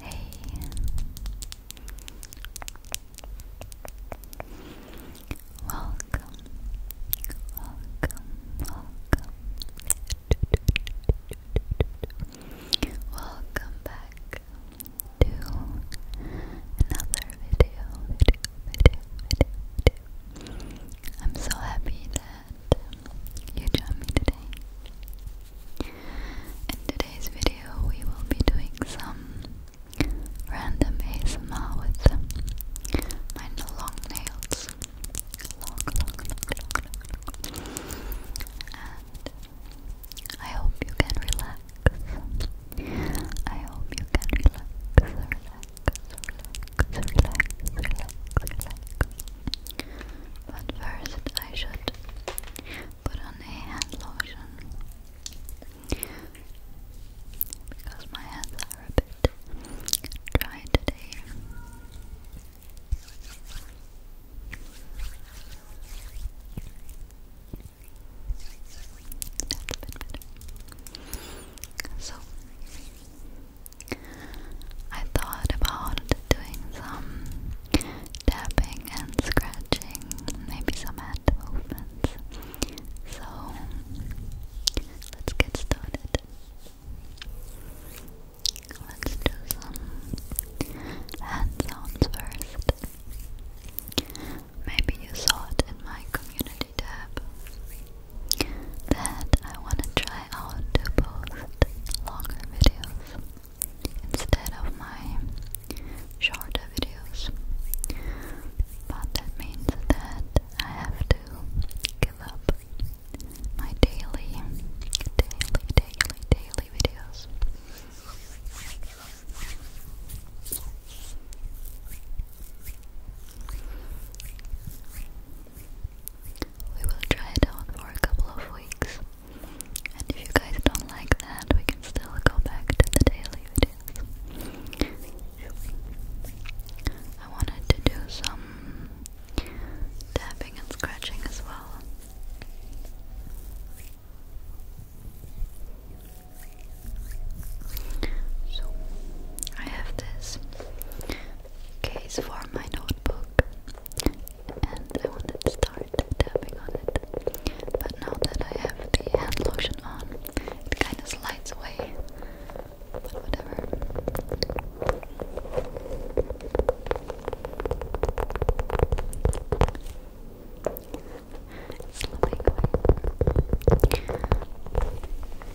Hey. Welcome. Welcome. Welcome. Welcome back to another video, I'm so happy that you joined me today. In today's video, we will be doing some random ASMR with my long nails. And I hope you can relax. I hope you can relax, relax, relax, relax, relax. But first I should put on a hand lotion because my hands are a bit dry today. So, I thought about doing some tapping and scratching, maybe some hand movements. So let's get started. Let's do some hand sounds first. Maybe you saw it in my community tab that I want to try out to post longer videos instead of my shorter videos. But that means that I have to give up my daily, daily, daily, daily videos. We will try it out for a couple of weeks. And if you guys don't like that, we can still go back to the daily videos. I wanted to do some tapping and scratching as well. So, I have this case for my notebook and I wanted to start tapping on it. But now that I have the hand lotion on, it kind of slides away. But whatever. It's slipping away. How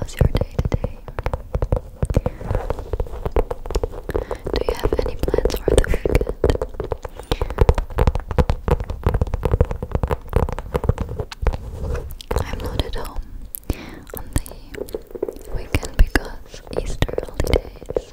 was your day today? Do you have any plans for the weekend? I'm not at home on the weekend because Easter holidays.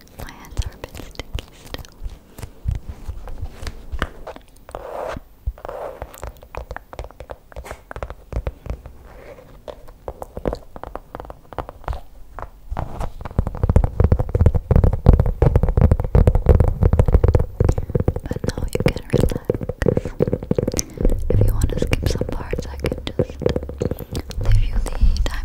My hands are a bit sticky still. But now you can relax. If you want to skip some parts, I can just leave you the timestamp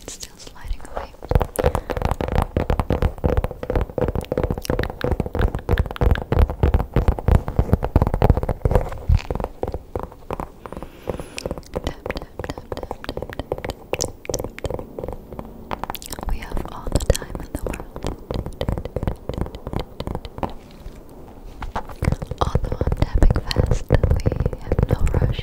It's still sliding away. Now Tap, tap, tap, tap, tap, We have all the time in the world. Although I'm tapping fast, we have no rush.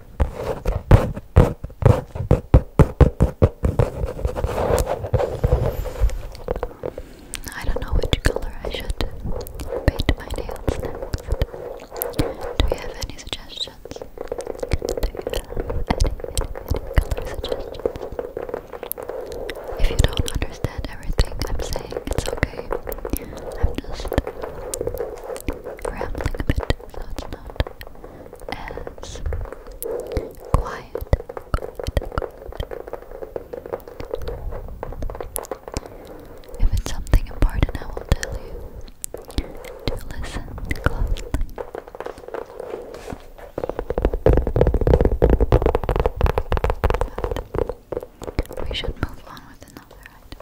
I don't know which color I should paint my nails next. Do you have any suggestions? any color suggestions? If you don't understand everything I'm saying, it's okay. I'm just rambling a bit, so it's not as quiet. If it's something important, I will tell you to listen we should move on with another item.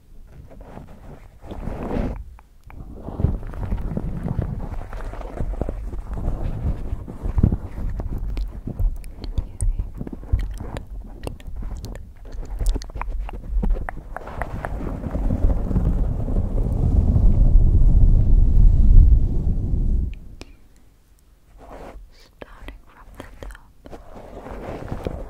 Starting from the top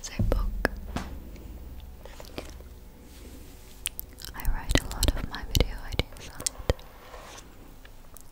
It's a book. I write a lot of my video ideas on it.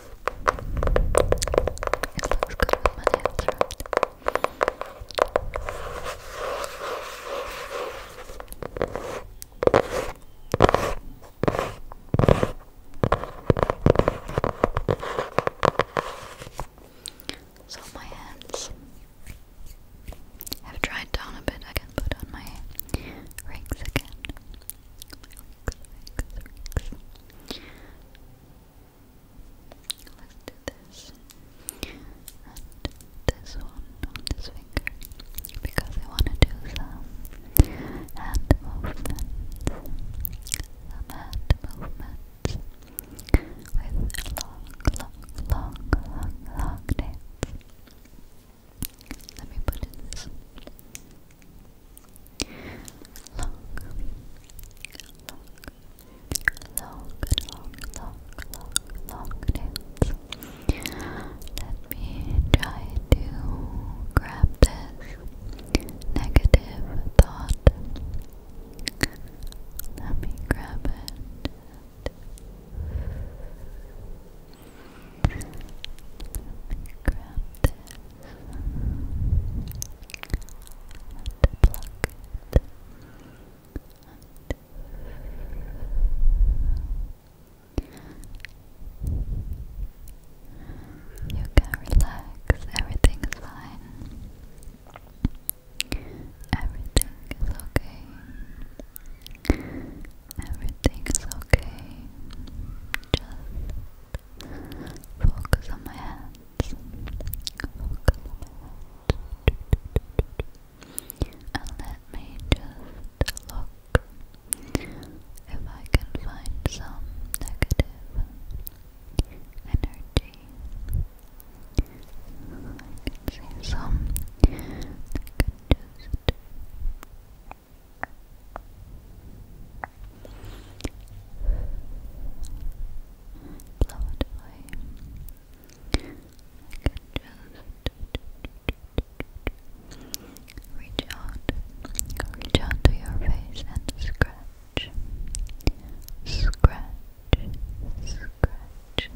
It looks good with my nails, So my hands have dried down a bit. I can put on my rings again. Let's do this and this one on this finger because I want to do some hand movements, some hand movements with long, long, long, long, nails. Let me put in this. Let me try to grab this negative thought. Let me grab it. Let me grab this and you can relax, everything is fine everything is okay everything is okay just Focus on my hands. And let me just look if I can find some negative energy. I can see some that Blow it I can just reach out, reach out to your face and scratch, scratch, scratch, scratch,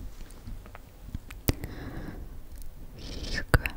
scratch.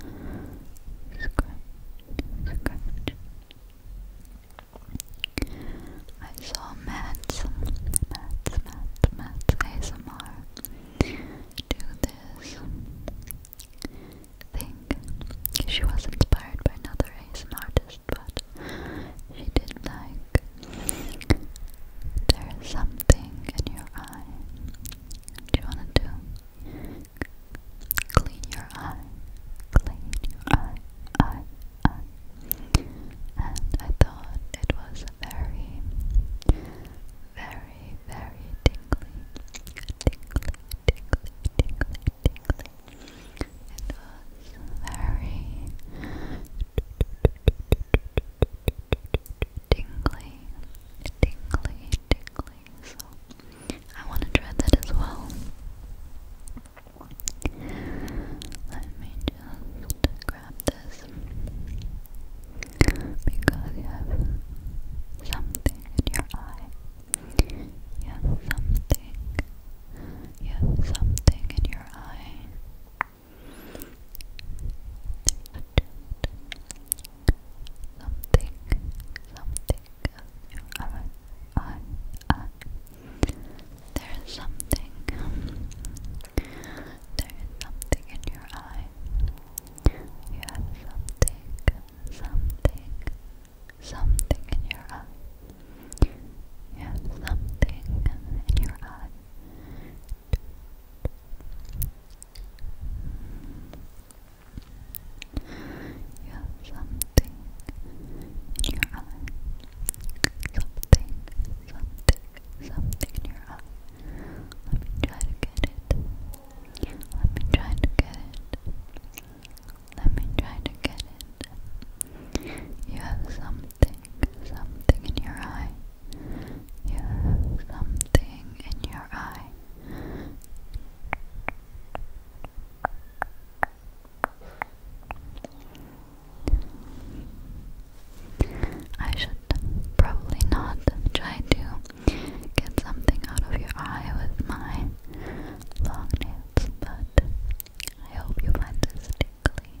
I saw Matt's, Matt's, Matt's, Matt's ASMR do this thing. She was inspired by another ASMR artist, but she did like there's something in your eye. Do you want to do? Clean your eye. Clean your eye, eye, eye. And I thought it was very, very, very tingly, tingly, tingly, tingly, tingly. It was very tingly, tingly, tingly. So I want to try that as well. Let me just grab this because you have something in your eye. You have something. You have something in your eye something, something of your own. own, There is something, there is something in your eye. You have something, something, something in your eye. You have something in your eye. You have something in your eye. Something, something, something in your eye. Let me try to get it. Let me try to get it. Let me try to get it. You have something, something in your eye. You have something in your eye. I should probably not try to get something out of your eye with my long nails, but I hope you find this tickly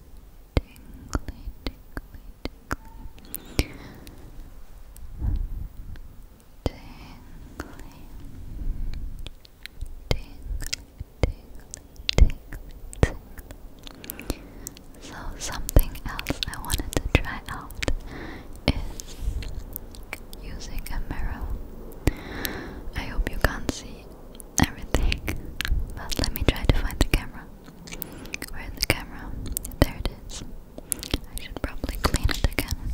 tingly, tingly, tingly, tingly, tingly, tingly, tingly, tingly. So something else I wanted to try out is using a mirror. I hope you can't see everything, but let me try to find the camera. Where the camera? There it is. I should probably clean it again.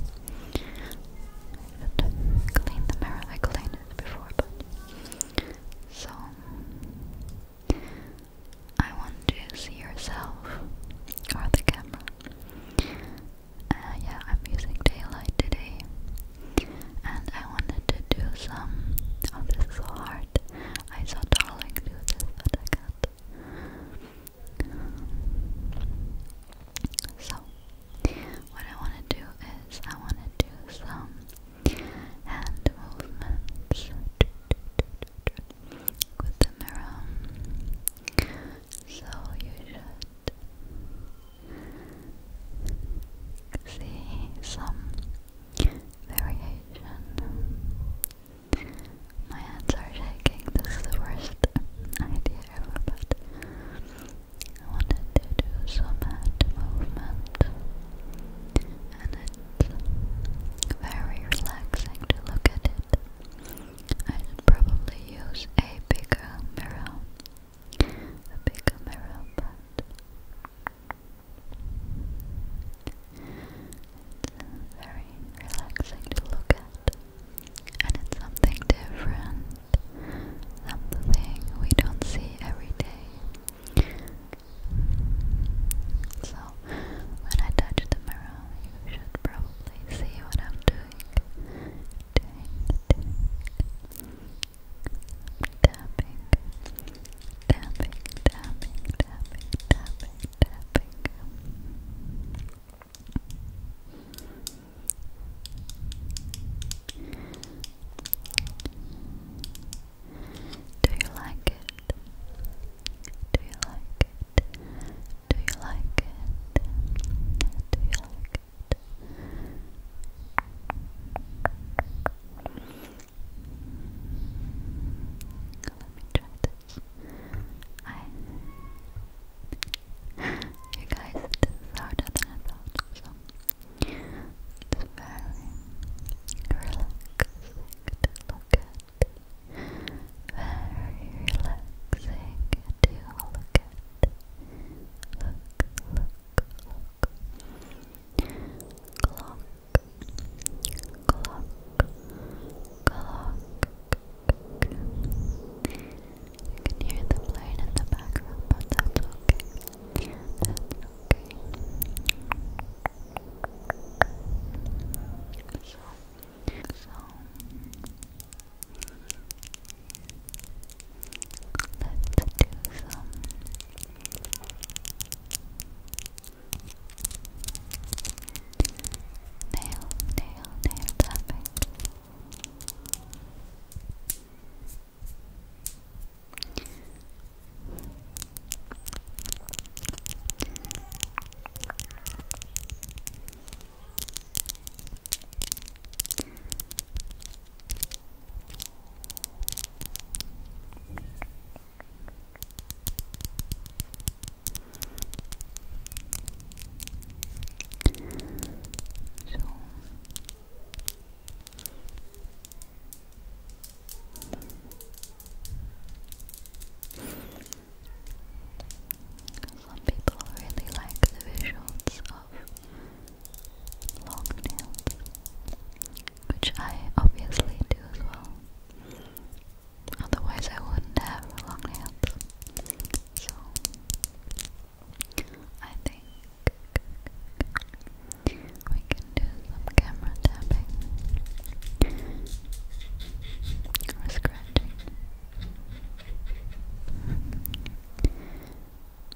I should clean the mirror. I cleaned it before, but so I want to see yourself or the camera. Uh, yeah, I'm using daylight today and I wanted to do some. Oh, this is so hard. I saw Darling do this, but I can't. So, what I want to do is I want to do some hand movements with the mirror. So you should see some variation. My hands are shaking. This is the worst idea ever, but I wanted to do some hand movement, and it's very relaxing to look at it. I should probably use a bigger mirror, a bigger mirror, but it's very relaxing to look at, and it's something different, something we don't see every day. So, when I touch the mirror, you should probably see what I'm doing tapping, tapping, tapping, tapping, tapping, tapping. Do you like it? Do you like it? Do you like it? Do you like it? Let me try this. I you guys, this harder than I thought, it's very relaxing to look at. Very relaxing to look at. look, look clock, You hear the plane in the background, but that's okay. That's okay. Let's do some nail, nail, nail tapping. So some people really like the visuals of long nails, which I obviously do as well. Otherwise, I wouldn't have long nails. So, I think we can do some camera tapping or scratching.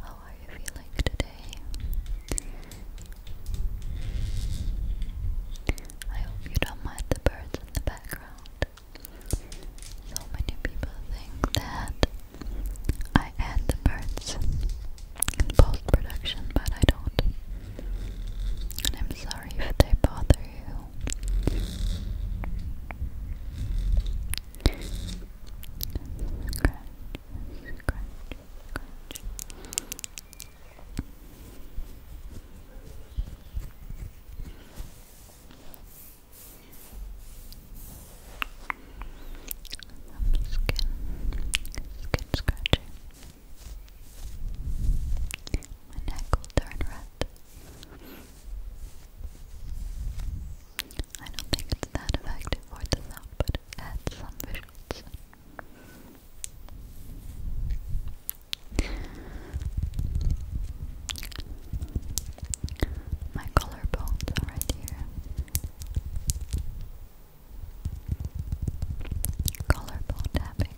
How are you feeling today? I hope you don't mind the birds in the background. So many people think that I add the birds in post production, but I don't. And I'm sorry if they bother you. Scratch, scratch, scratch. Some skin, skin scratching. My neck will turn red. I don't think it's that effective for the sound, but it adds some visuals. My collarbones right here. Collarbone tapping.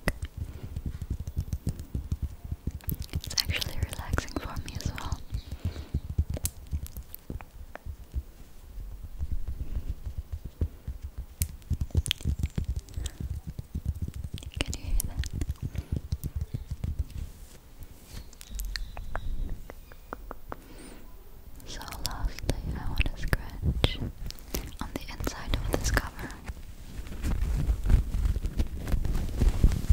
It's actually relaxing for me as well. Can you hear that? So lastly, I want to scratch on the inside of this cover.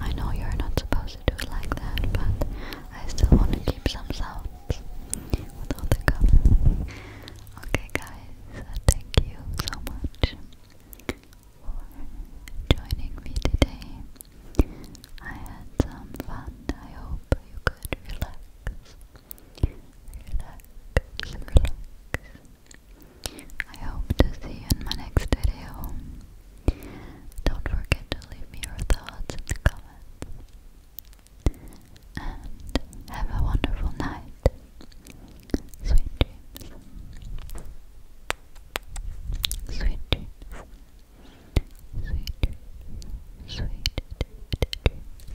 I know you're not supposed to do it like that, but I still want to keep some sounds with the color. Okay, guys, uh, thank you so much for joining me today. I had some fun. I hope you could relax Relax, relax. I hope to see you in my next video. Don't forget to leave me your thoughts in the comments. And have a wonderful night. Sweet dreams. Sweet dreams. Sweet dreams. Sweet dreams.